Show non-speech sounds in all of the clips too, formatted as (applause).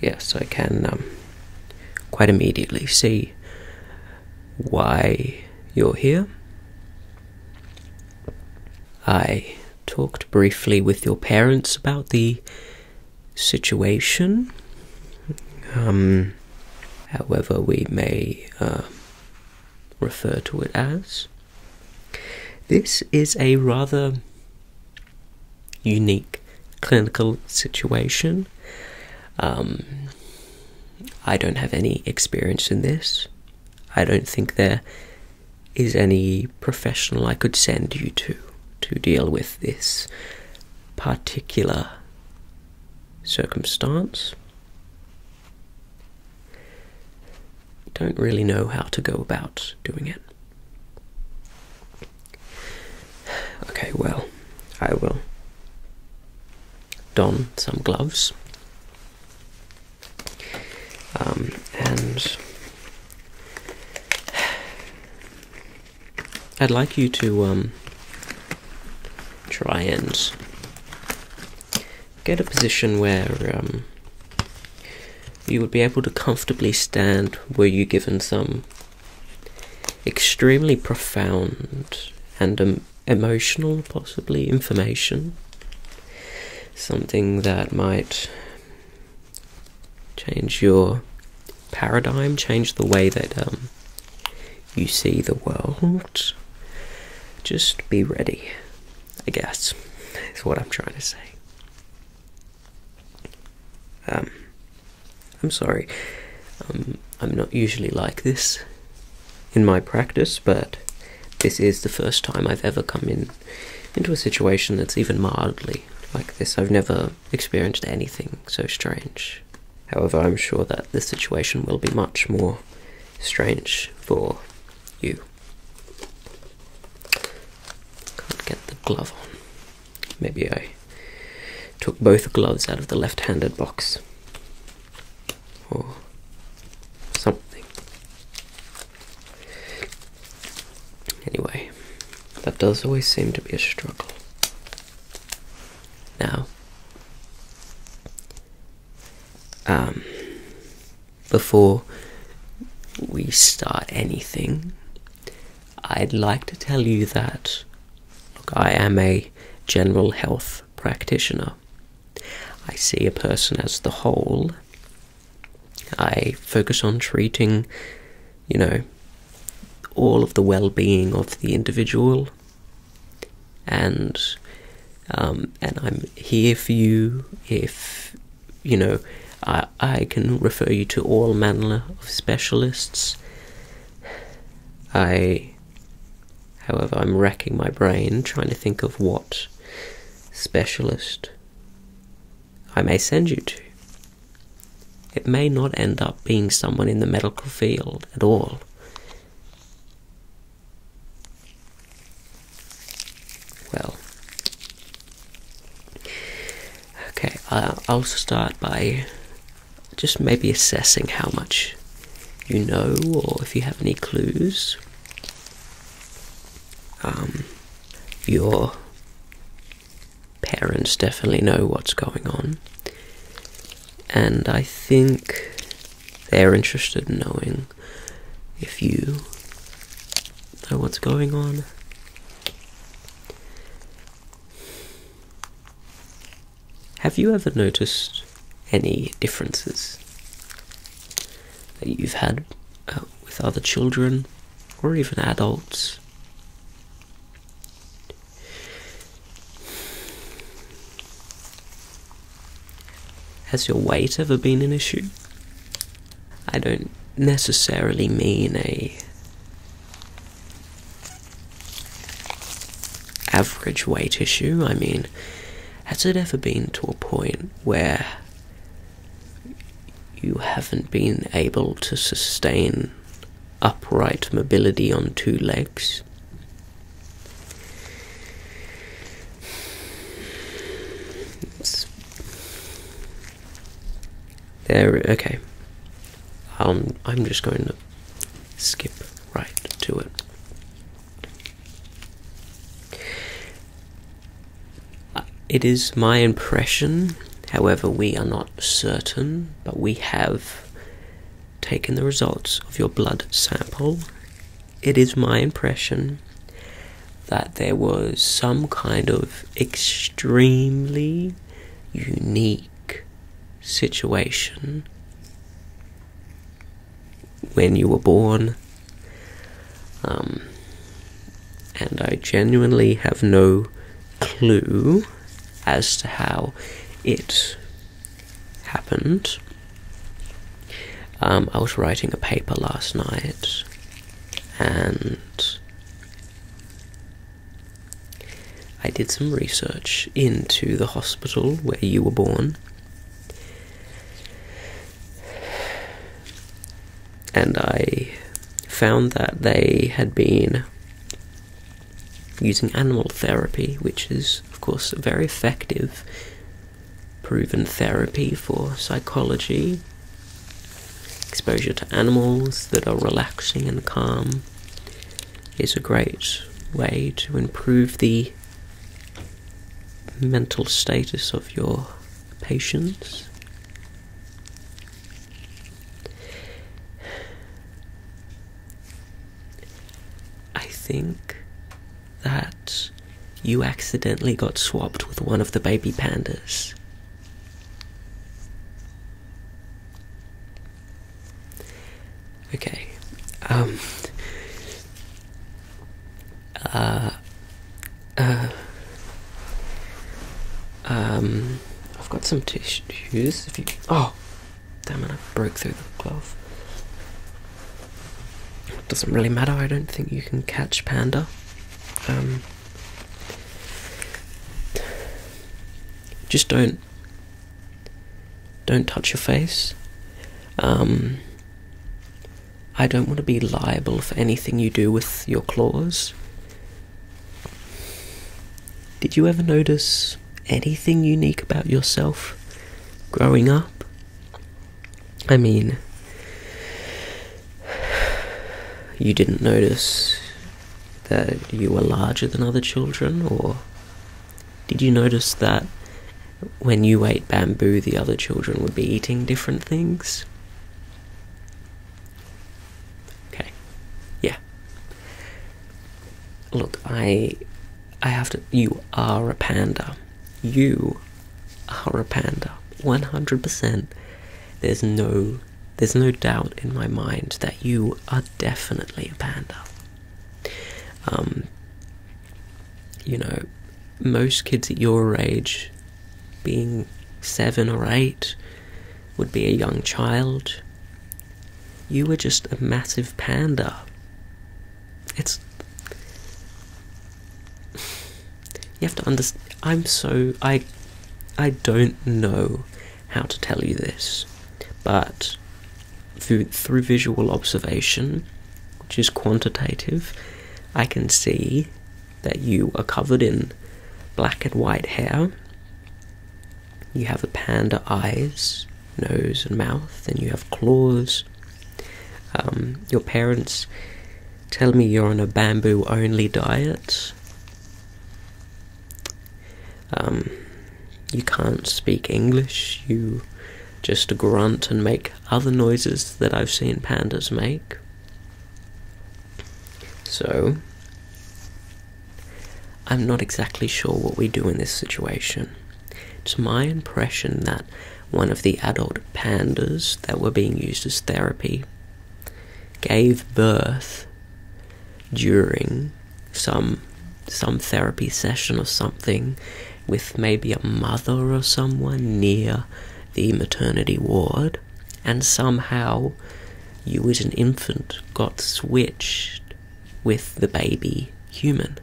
Yes, so I can um, quite immediately see why you're here. I talked briefly with your parents about the situation. Um, however, we may uh, refer to it as. This is a rather unique clinical situation. Um, I don't have any experience in this. I don't think there is any professional I could send you to to deal with this particular circumstance don't really know how to go about doing it. Okay, well, I will don some gloves um, and I'd like you to um, try and get a position where um, you would be able to comfortably stand were you given some extremely profound and um, emotional, possibly, information. Something that might change your paradigm, change the way that um, you see the world. Just be ready. I guess is what I'm trying to say. Um, I'm sorry. Um, I'm not usually like this in my practice, but this is the first time I've ever come in into a situation that's even mildly like this. I've never experienced anything so strange. However, I'm sure that this situation will be much more strange for you. Can't get the glove on. Maybe I took both gloves out of the left handed box. Or something. Anyway, that does always seem to be a struggle. Now, um, before we start anything, I'd like to tell you that look, I am a general health practitioner. I see a person as the whole. I focus on treating, you know, all of the well being of the individual and um, and I'm here for you if you know I, I can refer you to all manner of specialists. I, however, I'm racking my brain trying to think of what specialist I may send you to. It may not end up being someone in the medical field at all. Well, okay, I'll also start by just maybe assessing how much you know or if you have any clues. Um, your parents definitely know what's going on, and I think they're interested in knowing if you know what's going on, have you ever noticed any differences that you've had uh, with other children or even adults? Has your weight ever been an issue? I don't necessarily mean a average weight issue. I mean, has it ever been to a point where you haven't been able to sustain upright mobility on two legs? It's there, okay. Um, I'm just going to skip right to it. It is my impression, however, we are not certain, but we have taken the results of your blood sample it is my impression that there was some kind of extremely unique situation when you were born. Um, and I genuinely have no clue as to how it happened. Um, I was writing a paper last night and I did some research into the hospital where you were born. And I found that they had been using animal therapy, which is, of course, very effective proven therapy for psychology, exposure to animals that are relaxing and calm is a great way to improve the mental status of your patients. I think that you accidentally got swapped with one of the baby pandas. Okay. Um uh uh um I've got some tissues if you oh damn it I broke through the glove. It doesn't really matter, I don't think you can catch panda. Um, just don't don't touch your face. Um, I don't want to be liable for anything you do with your claws. Did you ever notice anything unique about yourself growing up? I mean, you didn't notice that you were larger than other children, or did you notice that when you ate bamboo, the other children would be eating different things? Okay, yeah. Look, I. I have to. You are a panda you are a panda 100% there's no there's no doubt in my mind that you are definitely a panda um you know most kids at your age being 7 or 8 would be a young child you were just a massive panda it's you have to understand. I'm so I, I don't know how to tell you this, but through through visual observation, which is quantitative, I can see that you are covered in black and white hair. You have a panda eyes, nose, and mouth, and you have claws. Um, your parents Tell me you're on a bamboo only diet. Um, you can't speak English, you just grunt and make other noises that I've seen pandas make. So, I'm not exactly sure what we do in this situation. It's my impression that one of the adult pandas that were being used as therapy gave birth during some some therapy session or something with maybe a mother or someone near the maternity ward and somehow you as an infant got switched with the baby human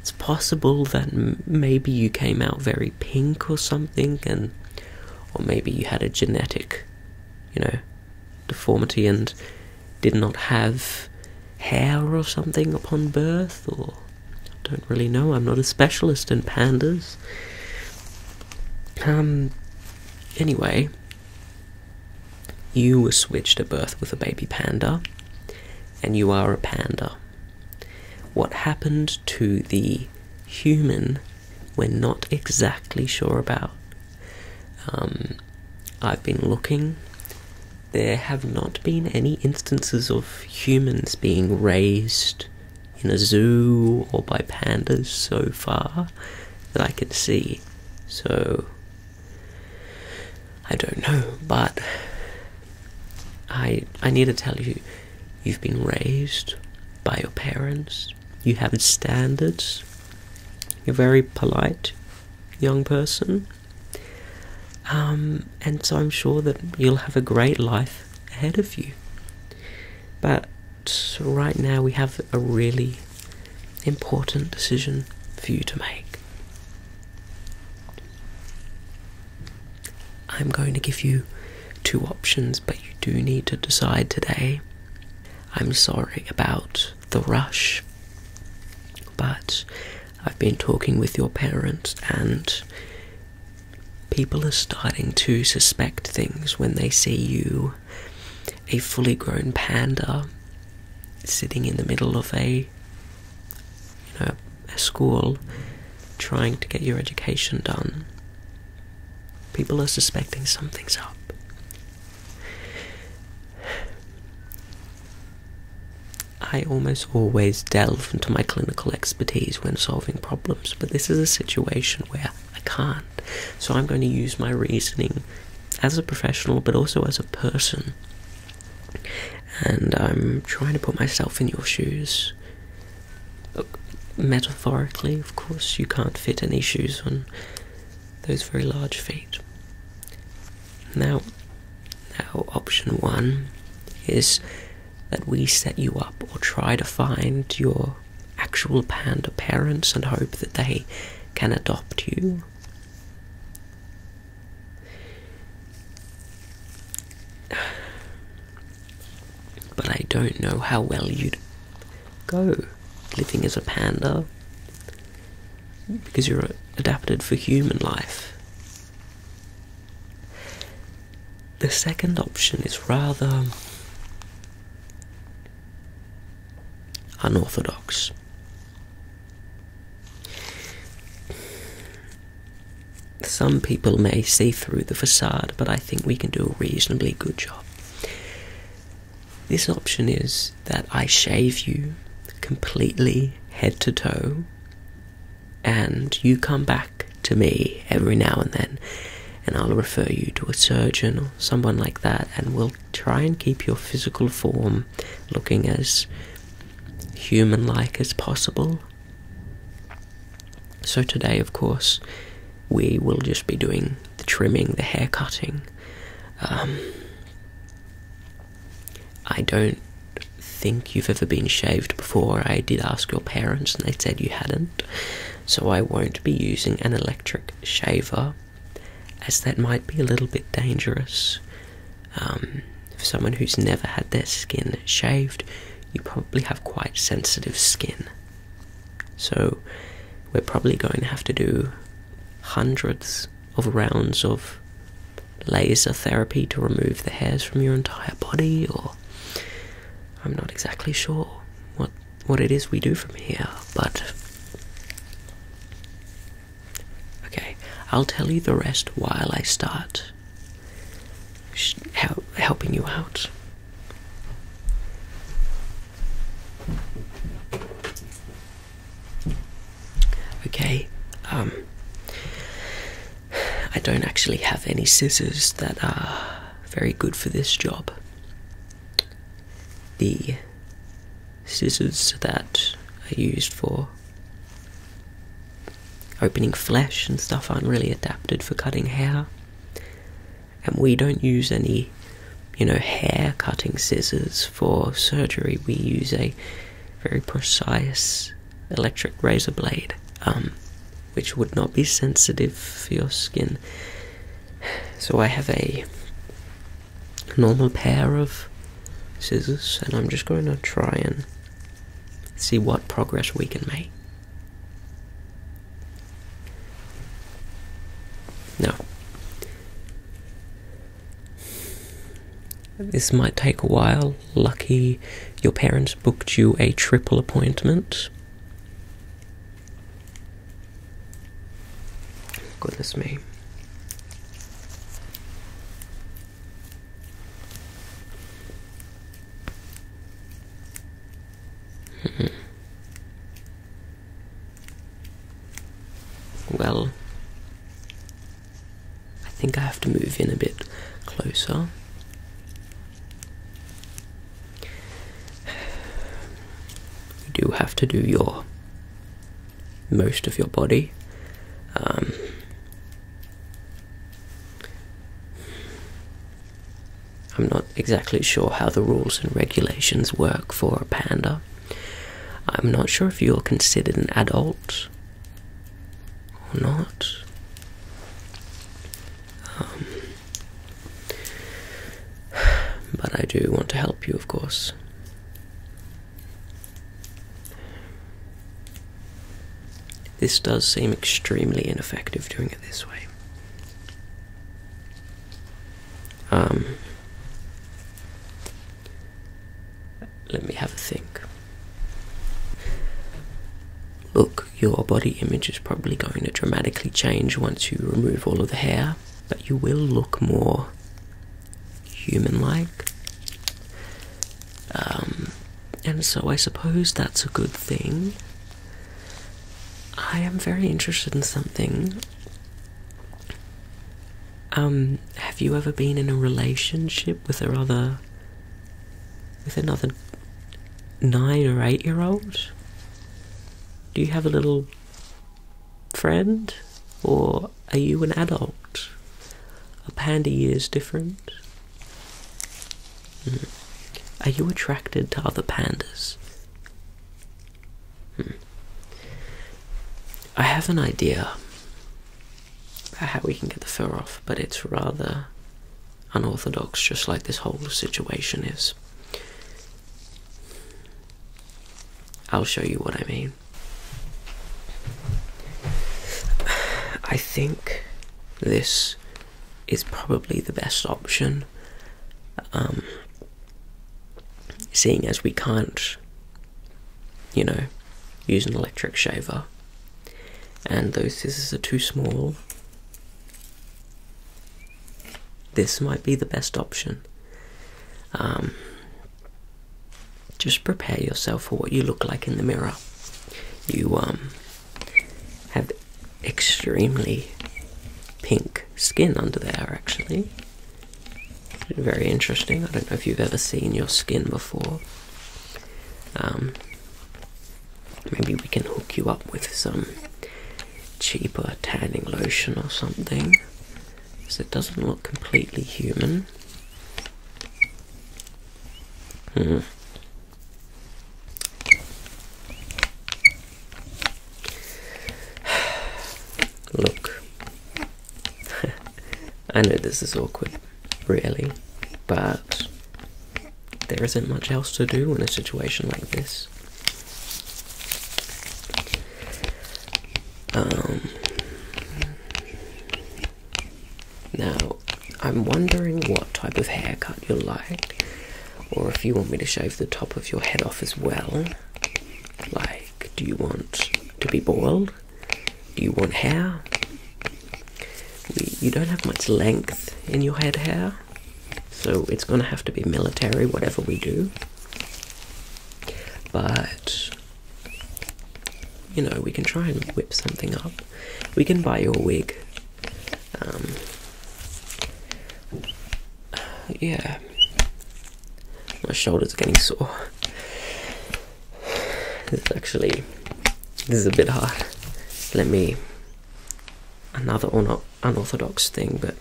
it's possible that maybe you came out very pink or something and or maybe you had a genetic, you know, deformity and did not have hair or something upon birth, or I don't really know. I'm not a specialist in pandas. Um. Anyway, you were switched at birth with a baby panda, and you are a panda. What happened to the human we're not exactly sure about. Um, I've been looking. There have not been any instances of humans being raised in a zoo or by pandas so far that I can see. So, I don't know, but I I need to tell you You've been raised by your parents. You have standards. You're very polite young person. Um, and so I'm sure that you'll have a great life ahead of you. But right now we have a really important decision for you to make. I'm going to give you two options, but you do need to decide today. I'm sorry about the rush, but I've been talking with your parents, and people are starting to suspect things when they see you, a fully grown panda, sitting in the middle of a school trying to get your education done. People are suspecting something's up. I almost always delve into my clinical expertise when solving problems, but this is a situation where I can't. So I'm going to use my reasoning as a professional, but also as a person. And I'm trying to put myself in your shoes metaphorically, of course, you can't fit any shoes on those very large feet. Now, now, option one is that we set you up or try to find your actual panda parents and hope that they can adopt you. But I don't know how well you'd go living as a panda because you're adapted for human life. The second option is rather unorthodox. Some people may see through the facade, but I think we can do a reasonably good job. This option is that I shave you completely head to toe, and you come back to me every now and then, and I'll refer you to a surgeon or someone like that, and we'll try and keep your physical form looking as human like as possible. So, today, of course, we will just be doing the trimming, the hair cutting. Um, I don't think you've ever been shaved before. I did ask your parents and they said you hadn't. So, I won't be using an electric shaver as that might be a little bit dangerous. Um, for someone who's never had their skin shaved, you probably have quite sensitive skin. So we're probably going to have to do hundreds of rounds of laser therapy to remove the hairs from your entire body or I'm not exactly sure what what it is we do from here, but Okay, I'll tell you the rest while I start helping you out. Okay, um, I don't actually have any scissors that are very good for this job. The scissors that are used for opening flesh and stuff aren't really adapted for cutting hair and we don't use any you know hair cutting scissors for surgery we use a very precise electric razor blade um, which would not be sensitive for your skin so i have a normal pair of scissors and i'm just going to try and see what progress we can make now, this might take a while. Lucky your parents booked you a triple appointment. Goodness me. Mm-hmm. Well, I think I have to move in a bit closer. You do have to do your most of your body. Um, I'm not exactly sure how the rules and regulations work for a panda. I'm not sure if you're considered an adult or not. Um, but I do want to help you, of course. This does seem extremely ineffective doing it this way. Um, let me have a think. Look, your body image is probably going to dramatically change once you remove all of the hair, but you will look more human like. Um, and so I suppose that's a good thing. I am very interested in something. Um, have you ever been in a relationship with a other with another nine or eight year old? Do you have a little friend? Or are you an adult? A panda is different? Are you attracted to other pandas? Hmm. I have an idea about how we can get the fur off, but it's rather unorthodox, just like this whole situation is. I'll show you what I mean. I think this is probably the best option. Um, seeing as we can't, you know, use an electric shaver, and those scissors are too small, this might be the best option. Um, just prepare yourself for what you look like in the mirror. You um, have extremely pink skin under there, actually. Very interesting. I don't know if you've ever seen your skin before. Um, maybe we can hook you up with some cheaper tanning lotion or something. Because it doesn't look completely human. Hmm. Look, (laughs) I know this is awkward, really, but there isn't much else to do in a situation like this. Um, now, I'm wondering what type of haircut you like or if you want me to shave the top of your head off as well. Like, do you want to be boiled? Do you want hair? You don't have much length in your head hair, so it's going to have to be military, whatever we do. But, you know, we can try and whip something up. We can buy you a wig um, yeah, my shoulders are getting sore. This is actually, this is a bit hard. Let me, another un unorthodox thing, but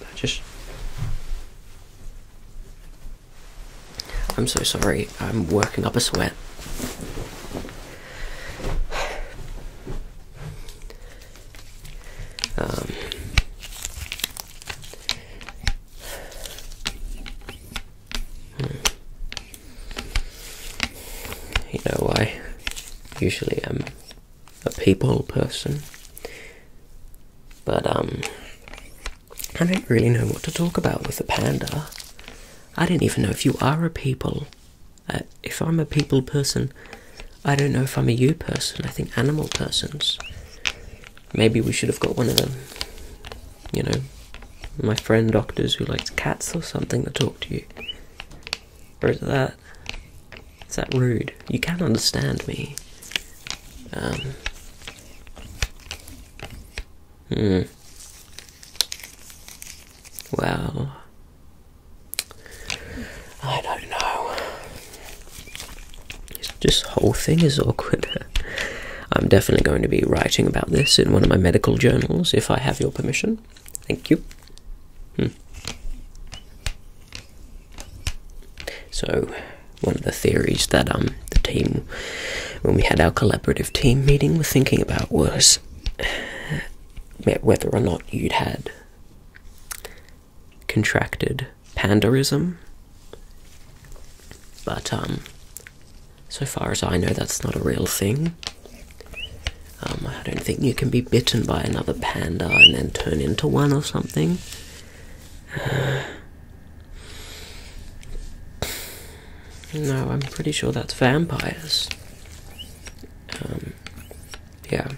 I just, I'm so sorry, I'm working up a sweat. Um, you know, I usually am a people person, but um, I don't really know what to talk about with a panda. I don't even know if you are a people uh, if I'm a people person, I don't know if I'm a you person. I think animal persons. Maybe we should have got one of them. You know, my friend doctors who likes cats or something to talk to you. Or is that? Is that rude? You can not understand me. Um. Hmm. Well, I don't know. This whole thing is awkward. (laughs) I'm definitely going to be writing about this in one of my medical journals if I have your permission. Thank you. Hmm. So, one of the theories that um the team, when we had our collaborative team meeting, were thinking about was (sighs) whether or not you'd had contracted pandaism, But um so far as I know that's not a real thing. Um, I don't think you can be bitten by another panda and then turn into one or something. (sighs) no, I'm pretty sure that's vampires. Um, yeah.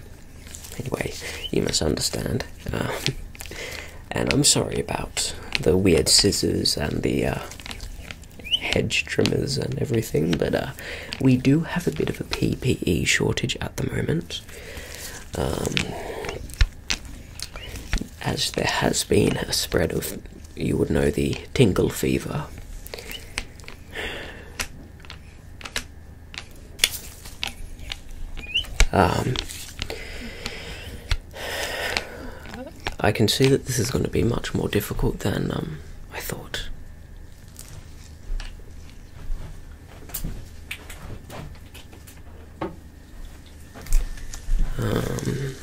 Anyway, you must understand. Um, (laughs) and I'm sorry about the weird scissors and the uh, hedge trimmers and everything, but uh, we do have a bit of a PPE shortage at the moment. Um, as there has been a spread of, you would know, the tingle fever. Um, I can see that this is going to be much more difficult than um, I thought. Um,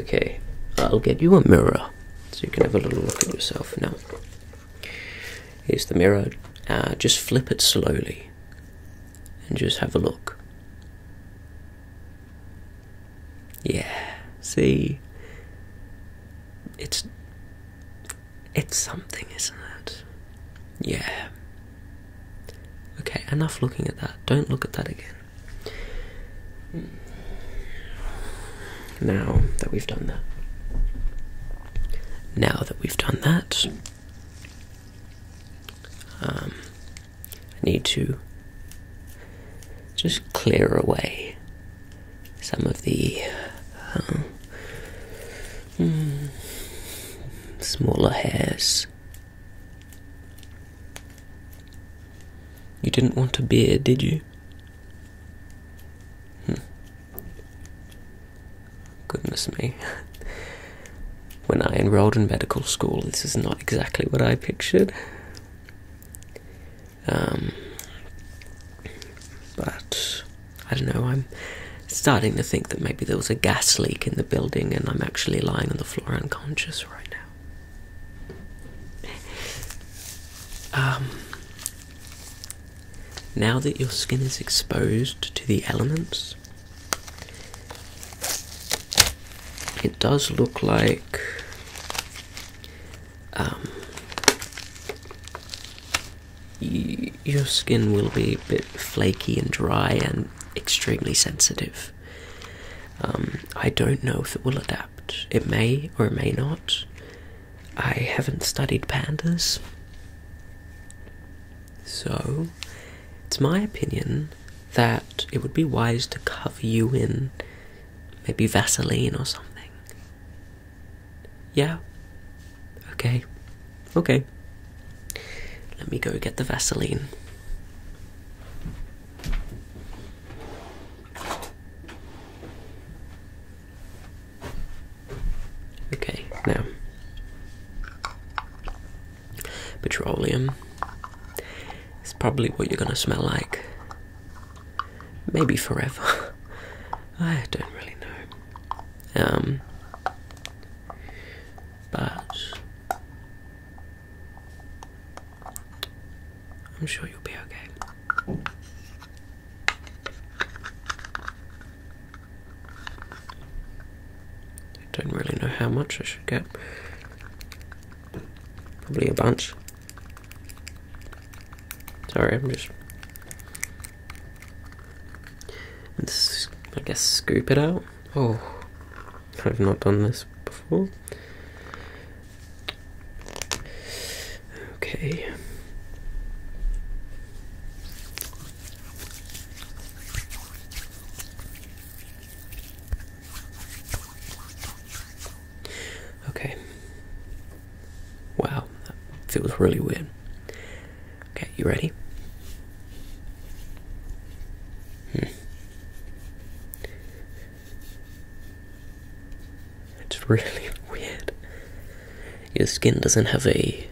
okay, I'll get you a mirror so you can have a little look at yourself now. Here's the mirror. Uh, just flip it slowly and just have a look. Yeah, see, it's it's something, isn't it? Yeah. Okay, enough looking at that. Don't look at that again. Now that we've done that. Now that we've done that, um, I need to just clear away some of the uh, hmm, smaller hairs. You didn't want a beard, did you? Hmm. Goodness me. when I enrolled in medical school, this is not exactly what I pictured. Um, but I don't know, I'm starting to think that maybe there was a gas leak in the building and I'm actually lying on the floor unconscious right now. Um, now that your skin is exposed to the elements, it does look like um, your skin will be a bit flaky and dry and extremely sensitive. Um, I don't know if it will adapt. It may or it may not. I haven't studied pandas, so it's my opinion that it would be wise to cover you in maybe Vaseline or something. Yeah? Okay. Okay. Let me go get the Vaseline. Okay, now petroleum is probably what you're gonna smell like. Maybe forever. (laughs) I don't really know. Um but I'm sure you'll be okay. I don't really know how much I should get. Probably a bunch. Sorry, I'm just. I guess, scoop it out. Oh, I've not done this before. Okay. Okay. Wow, that feels really weird. Okay, you ready? Hmm. It's really (laughs) weird. Your skin doesn't have a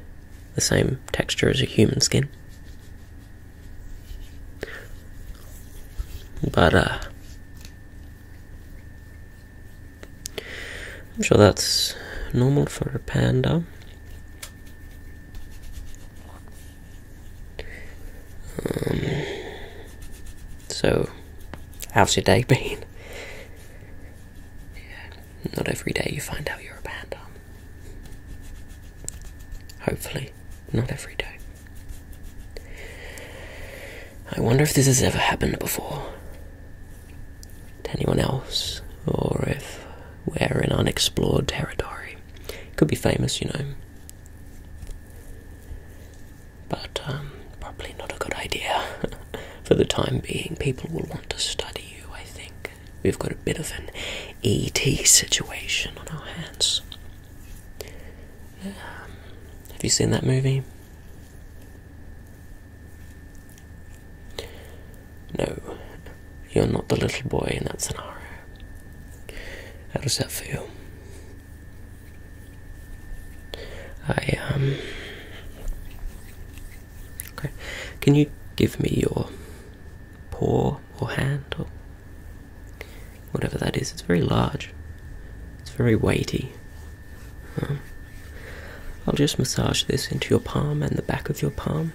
the same texture as a human skin. But uh, I'm sure that's normal for a panda. Um, so, how's your day (laughs) been? Not every day you find out you're a panda. Um. Hopefully, not every day. I wonder if this has ever happened before to anyone else, or if we're in unexplored territory. It Could be famous, you know. But, um, probably not a good idea (laughs) for the time being. People will want to study you, I think. We've got a bit of an ET situation on our hands. have you seen that movie? No, you're not the little boy in that scenario. How does that feel? I um, Okay. Can you give me your paw or hand or whatever that is? It's very large. It's very weighty. I'll just massage this into your palm and the back of your palm.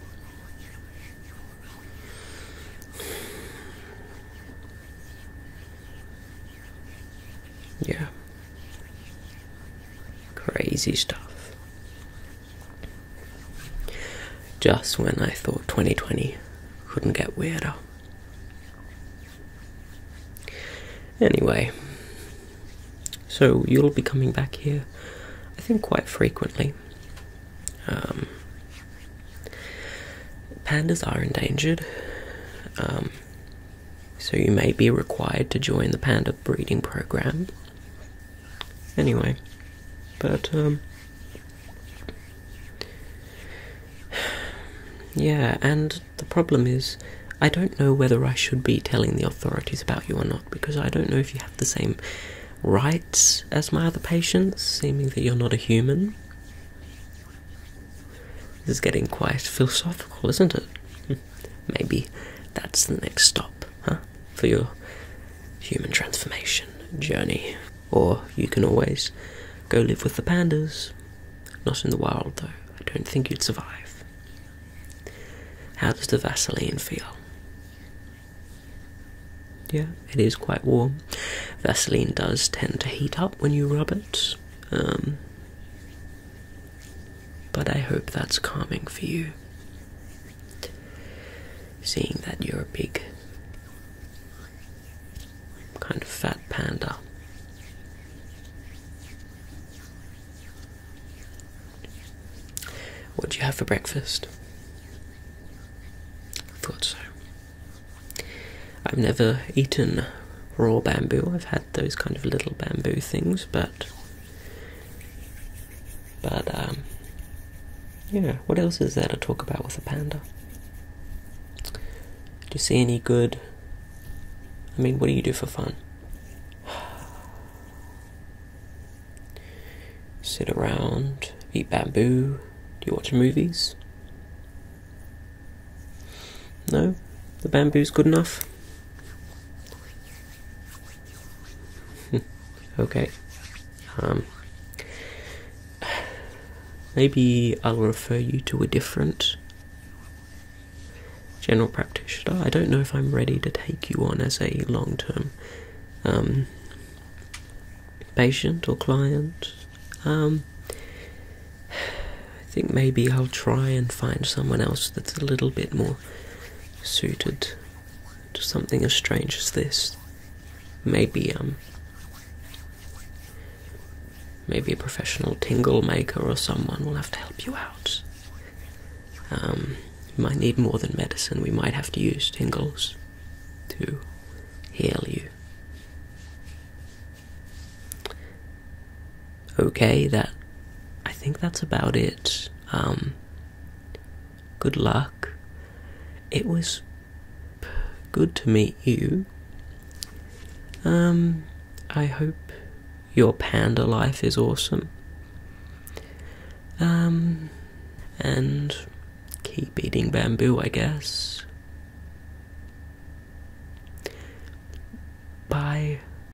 Yeah. Crazy stuff. Just when I thought 2020 couldn't get weirder. Anyway, so you'll be coming back here, I think, quite frequently. Um, pandas are endangered. Um, so you may be required to join the panda breeding program. Anyway, but, um, yeah, and the problem is, I don't know whether I should be telling the authorities about you or not because I don't know if you have the same rights as my other patients, seeming that you're not a human. This is getting quite philosophical, isn't it? Maybe that's the next stop, huh? For your human transformation journey. Or you can always go live with the pandas. Not in the wild, though. I don't think you'd survive. How does the Vaseline feel? Yeah, it is quite warm. Vaseline does tend to heat up when you rub it. Um, but I hope that's calming for you. Seeing that you're a big, kind of fat panda. What do you have for breakfast? I thought so. I've never eaten raw bamboo. I've had those kind of little bamboo things, but but um yeah, what else is there to talk about with a panda? Do you see any good? I mean, what do you do for fun? (sighs) Sit around, eat bamboo. Do you watch movies? No, the bamboo's good enough. Hmm. okay. Um, maybe I'll refer you to a different general practitioner. I don't know if I'm ready to take you on as a long term um, patient or client. Um, I think maybe I'll try and find someone else that's a little bit more suited to something as strange as this. Maybe, um, maybe a professional tingle maker or someone will have to help you out. you um, might need more than medicine, we might have to use tingles to heal you okay that i think that's about it um good luck it was good to meet you um i hope your panda life is awesome um and keep eating bamboo i guess bye